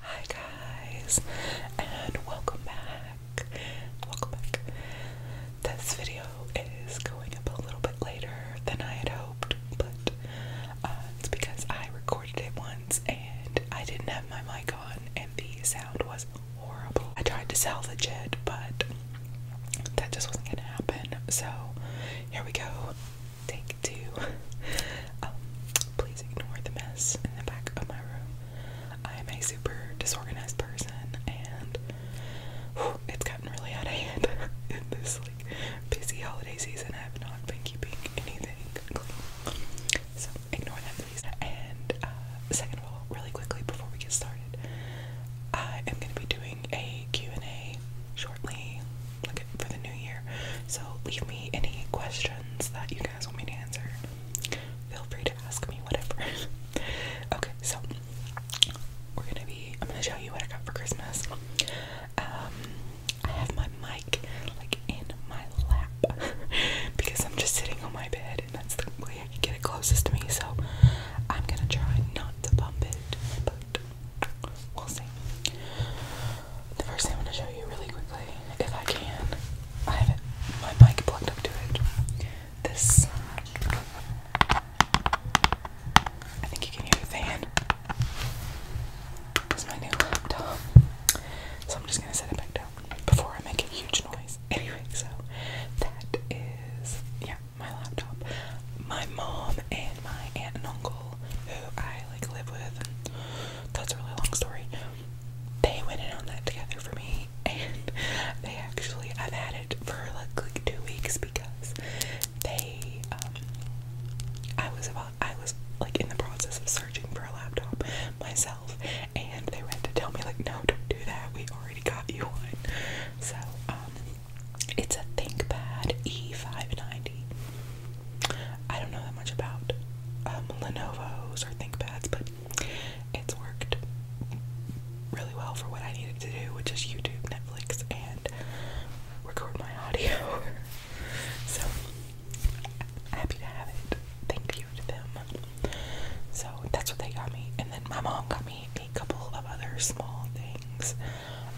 Hi guys, and welcome back. Welcome back. This video is going up a little bit later than I had hoped, but uh, it's because I recorded it once and I didn't have my mic on, and the sound was horrible. I tried to salvage it, but that just wasn't gonna happen. So here we go. Take two. Um, please ignore the mess in the back of my room. I am a super disorganized person, and it's gotten really out of hand in this like busy holiday season. I have not been keeping anything clean, so ignore that, please. And uh, second of all, really quickly before we get started, I am going to be doing a Q and A shortly for the new year. So leave me any questions that you guys want me to answer. Feel free to ask me whatever. okay, so we're gonna be. I'm gonna show you what I got for Christmas. Um, I have my mic like in my lap because I'm just sitting on my bed, and that's the way I can get it closest to me. So I'm gonna try not to bump it, but we'll see. The first thing I'm gonna show you really quickly, if I can, I have my mic plugged up to it. This, I think you can hear the fan. This my new laptop, so I'm just gonna set it back down before I make a huge noise. Anyway, so that is yeah, my laptop. My mom and my aunt and uncle, who I like live with. That's a really long story. They went in on that together for me, and they actually I've had it for like, two weeks because they um, I was about I was like in the process of searching for a laptop myself, and they went to tell me like, no, don't do that. We already got you one. So um, it's a ThinkPad E590. I don't know that much about um, Lenovo's or ThinkPads, but it's worked really well for what I needed to do, which is YouTube, Netflix, and record my audio. so happy to have it. Thank you to them. So that's what they got me. And then my mom got me a couple of other small things.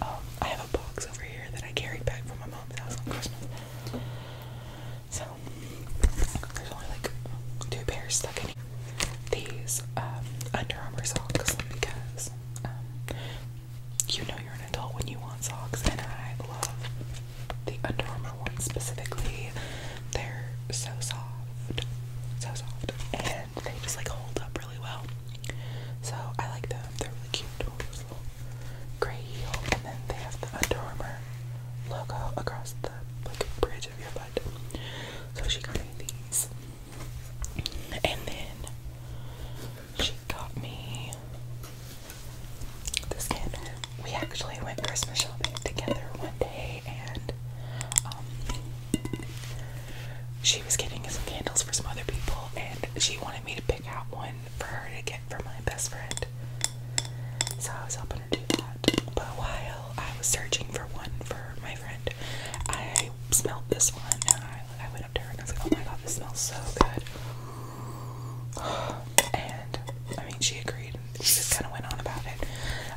Um, I have a box over here that I carried back from my mom's house on Christmas. So there's only like two pairs stuck in here. These um, Under Armour socks because um, you know you're an adult when you want socks, and I love the Under Armour ones specifically. They're so soft, so soft, and they just like hold up really well. So I like them. They're really cute gray heel, and then they have the Under Armour logo across the bridge of your butt. So she got me these, and then she got me this candle. We actually went Christmas shopping together one day, and um, she was getting some candles for some other people, and she wanted me to pick out one for her to get for my best friend. So I was helping her do that. But while I was searching for one for my friend, I smelled this one and I, went up to her and I was like, oh my god, this smells so good. And I mean, she agreed. She just kind of went on about it.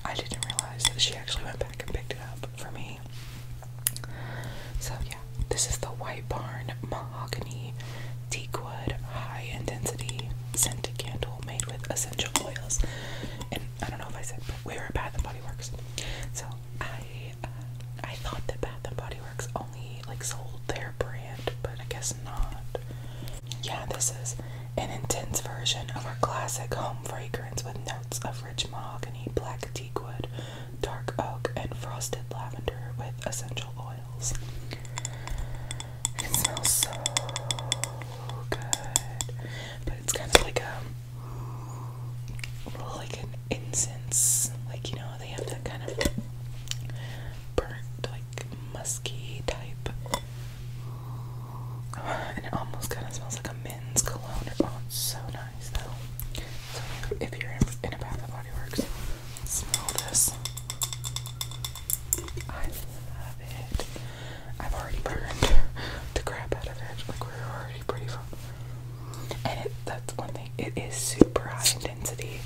I didn't realize that she actually went back and picked it up for me. So yeah, this is the White Barn Mahogany Teakwood High Density Scented Candle made with essential oils. And I don't know if I said, but we were at Bath and Body Works. So I uh, I thought that Bath and Body Works only like sold their brand, but I guess not. Yeah, this is an intense version of our classic home fragrance with notes of rich mahogany, black teakwood, dark oak, and frosted lavender with essential oils. It smells so good, but it's kind of like a like an incense, like you know they have that kind of burnt, like musky type. And it almost kind of smells like a men's cologne. Oh, it's so nice. So if you're in a Bath and Body Works, smell this. I love it. I've already burned the crap out of it. Like we're already pretty far. And that's one thing. It is super high density.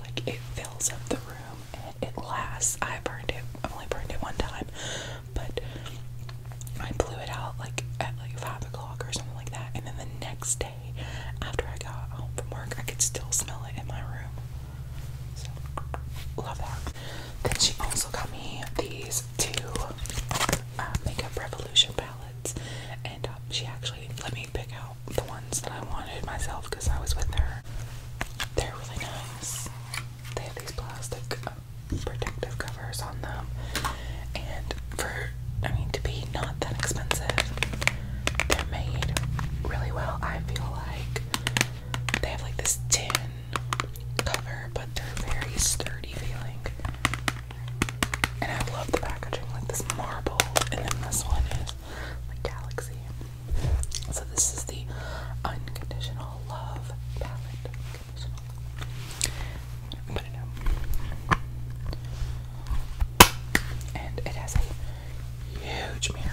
Like it fills up the room and it lasts. I burned it. I've only burned it one time, but I blew it out like at like five o'clock or something like that, and then the next day, after I got home from work, I could still smell it in my room. love that. Then she also got me these two uh, Makeup Revolution palettes, and um, she actually let me pick out the ones that I wanted myself because I was with her. They're really nice. They have these plastic uh, protective on them, and for I mean to be not that expensive, they're made really well. I feel like they have like this tin cover, but they're very sturdy feeling. And I love the packaging, like this marble, and then this one is like galaxy. So this is the unconditional love palette. Put it up. And it has a huge mirror.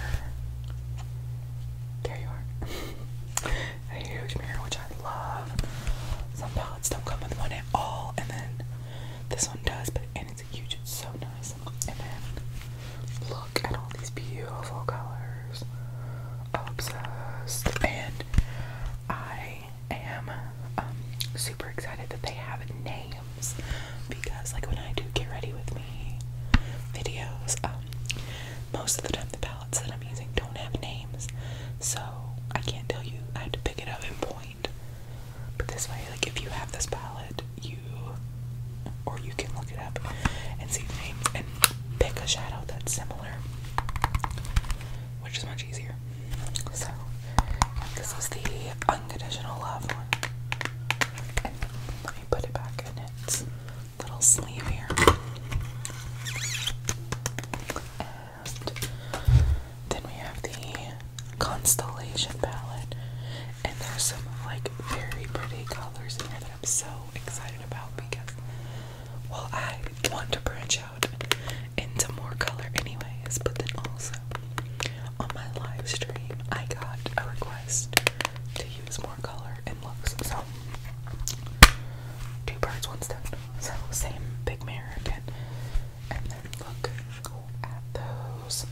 There you are. a huge mirror, which I love. Some palettes don't come with one at all, and then this one does, but and it's huge, it's so nice. And then look at all these beautiful colors. obsessed. And I I am um, super excited that they have names because, like, when I do get ready with me videos, um, most of the time the palettes that I'm using don't have names, so I can't tell you. I have to pick it up and point. But this way, like, if you have this palette, you or you can look it up and see the names and pick a shadow that's similar, which is much easier. So this is the unconditional love one. let me put it back in its little sleeve here. And then we have the constellation palette. And there's some like very pretty colors in here that I'm so excited about because well, I want to branch out into more color, anyways, but then also on my live stream, I got a request to use more color and looks. So, two birds, one stone. So, same big mirror again. And then look at those.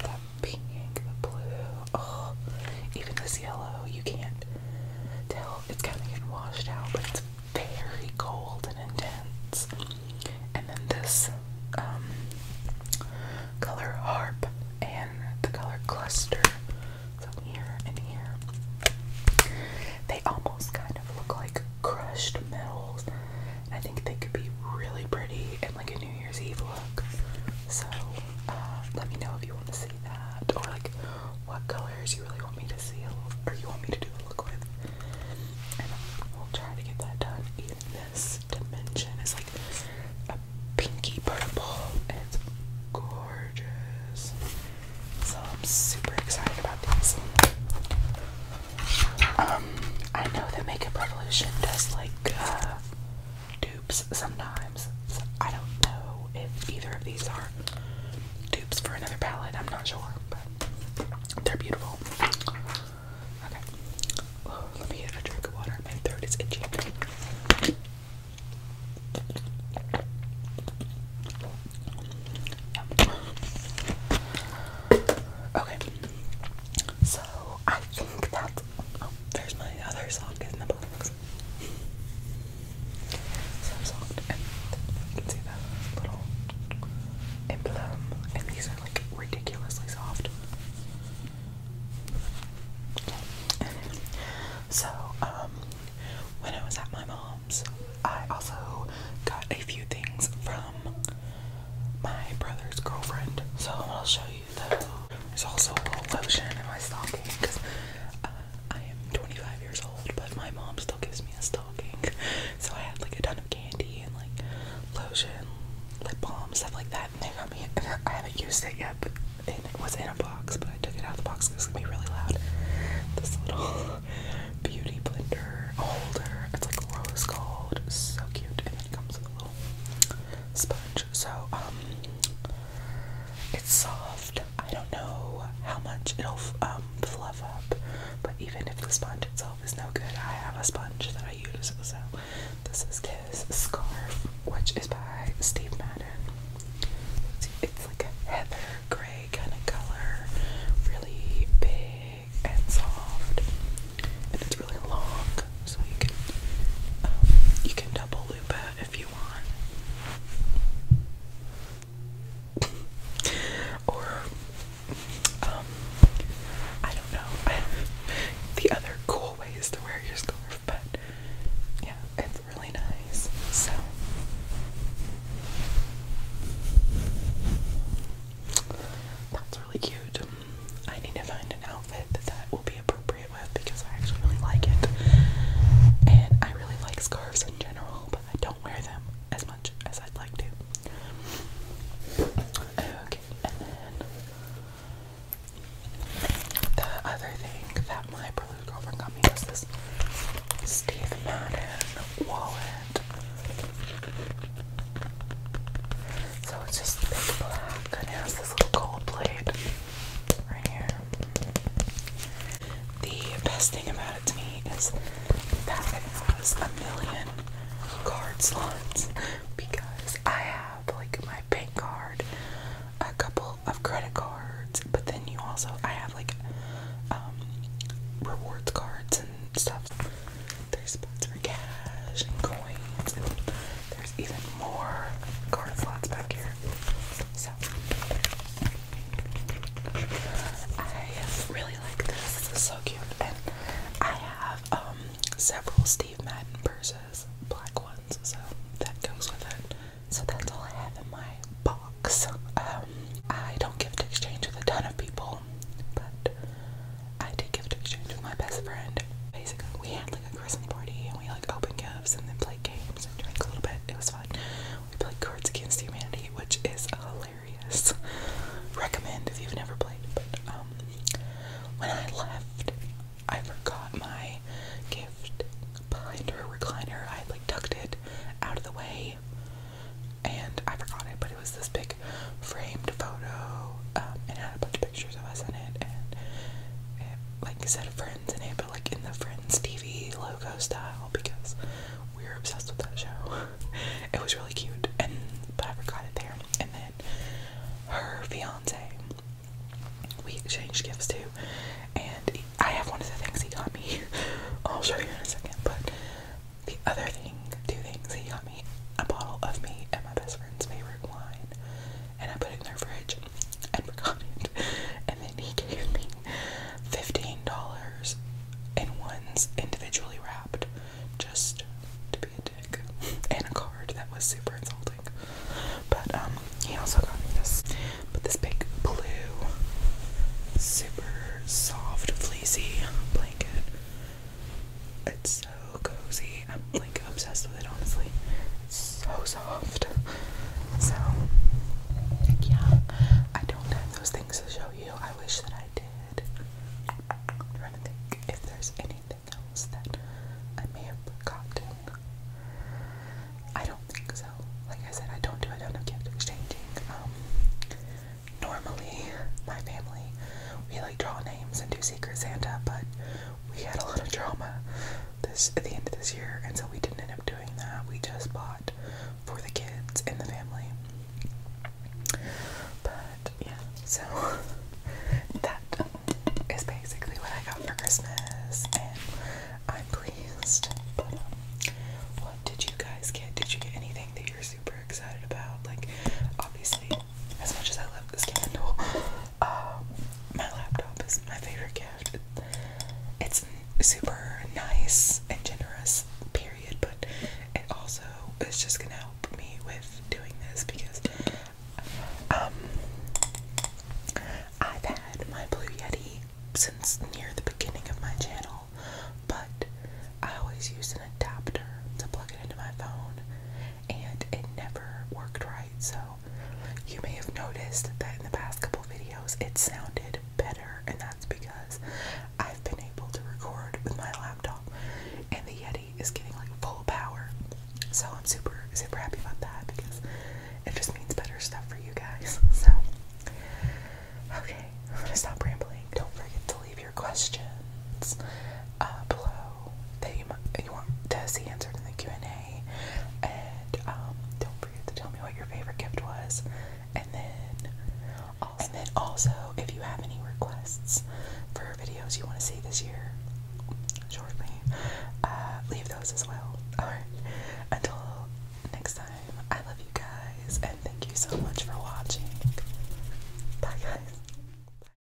That pink, the blue. Oh, even this yellow, you can't tell. It's kind of getting washed out, but very cold and intense. And then this um, color harp and the color cluster. So here and here. They almost kind of look like crushed metals. I think they could be really pretty in like a New Year's Eve look. So uh, let me know if you want to see that. Or like what colors you really want me to see, or you want me to do a look with. And we'll try to get that done in this dimension. is like a pinky purple, and it's gorgeous. So I'm super excited about these. Um, I know that Makeup Revolution does like uh, dupes sometimes. I don't know if either of these are dupes for another palette. I'm not sure, but they're beautiful. Okay, oh, let me get a drink of water. My throat is itchy. Okay, so I think that. Oh, there's my other sock in the box. So and you can see the little emblem, and these are like ridiculously soft. So, when I was at my mom's, I also got a few things from my brother's girlfriend. So I'll show you those. There's also a little lotion in my stocking because I am 25 years old, but my mom still gives me a stocking. So I had like a ton of candy and like lotion, lip balm, stuff like that. And they got me. I haven't used it yet, but it was in a box. But I took it out of the box because it's gonna be really loud. This little beauty blender holder. It's like rose gold. So cute, and it comes with a little sponge. So um, it's soft. I don't know how much it'll um, fluff up. But even if the sponge itself is no good, I have a sponge that I use. So this is his scarf, which is by Steve Madden. It's like a heather gray kind of color, really big and soft, and it's really long, so you can um, you can double loop it if you want. or um, I don't know. the other cool way to wear your scarf, but yeah, it's really nice. So that's really cute. I need to find an outfit that will be appropriate because I actually really like it. And I really like scarves in general, but I don't wear them as much as I'd like to. Okay, and then the other thing that my prelude girlfriend got me was this Steve Madden wallet. So it's just black and it has this little gold plate right here. The best thing about it to me is that it has a million card slots because I have like my bank card, a couple of credit cards, but then you also I have like um rewards cards and stuff. There's spots for cash and coins and there's even more card slots back here. So I really like this. This is so cute. And I have um, several Steve Madden purses, black ones, so that goes with it. So that's all I have in my box. Um, I don't gift exchange with a ton of people, but I did gift exchange with my best friend. Basically, we had a Christmas party and we like open gifts and then play games and drink a little bit. It was fun. We played Cards Against Humanity, which is hilarious. Recommend if you've never played. But um, when I left, I forgot my gift behind her recliner. I had like tucked it out of the way and I forgot it, but it was this big framed photo um, and it had a bunch of pictures of us in it and it like said a friend in but like in the Friends TV logo style because we were obsessed with that show. it was really cute, and but I forgot it there. And then her fiance, we exchanged gifts too, and I have one of the things he got me. I'll show you in a second, but the other thing, two things he got me a bottle of me and my best friend's favorite wine, and I put it in their fridge and forgot it. And then he gave me $15 in ones individually wrapped just to be a dick. And a card that was super insulting. But um he also got me this but this big blue super soft fleecy blanket. It's so cozy. I'm like obsessed with it, honestly. so soft. So, yeah, I don't have those things to show you. I wish that I did. I'm if there's anything else that I may have forgotten. I don't think so. Like I said, I don't do a ton of gift exchanging. Um, normally, my family, we like draw names and do Secret Santa, but we had a lot of drama this at the end of this year, and so we didn't end up doing that. We just bought for the kids and the family. But yeah, so that is basically what I got for Christmas, and I'm pleased. But um, what did you guys get? Did you get anything that you're super excited about? Like, obviously, as much as I love this candle, um, my laptop is my favorite gift. It's super nice and generous, period, but it also is just gonna help me with doing this because um, I've had my Blue Yeti since near the beginning of my channel, but I always use an adapter to plug it into my phone, and it never worked right. So you may have noticed that in the past couple videos it sounded better, and that's because I've been able to record with my laptop and the Yeti is getting like full power. So I'm super, super happy about that because it just means better stuff for you guys. So, okay, I'm gonna stop rambling. Don't forget to leave your questions. Uh, below that you, you want to see answered in the Q&A. And um, don't forget to tell me what your favorite gift was. And then, also, and then also, if you have any requests for videos you want to see this year, shortly, uh, leave those as well. Alright, until next time, I love you guys and thank you so much for watching. Bye guys.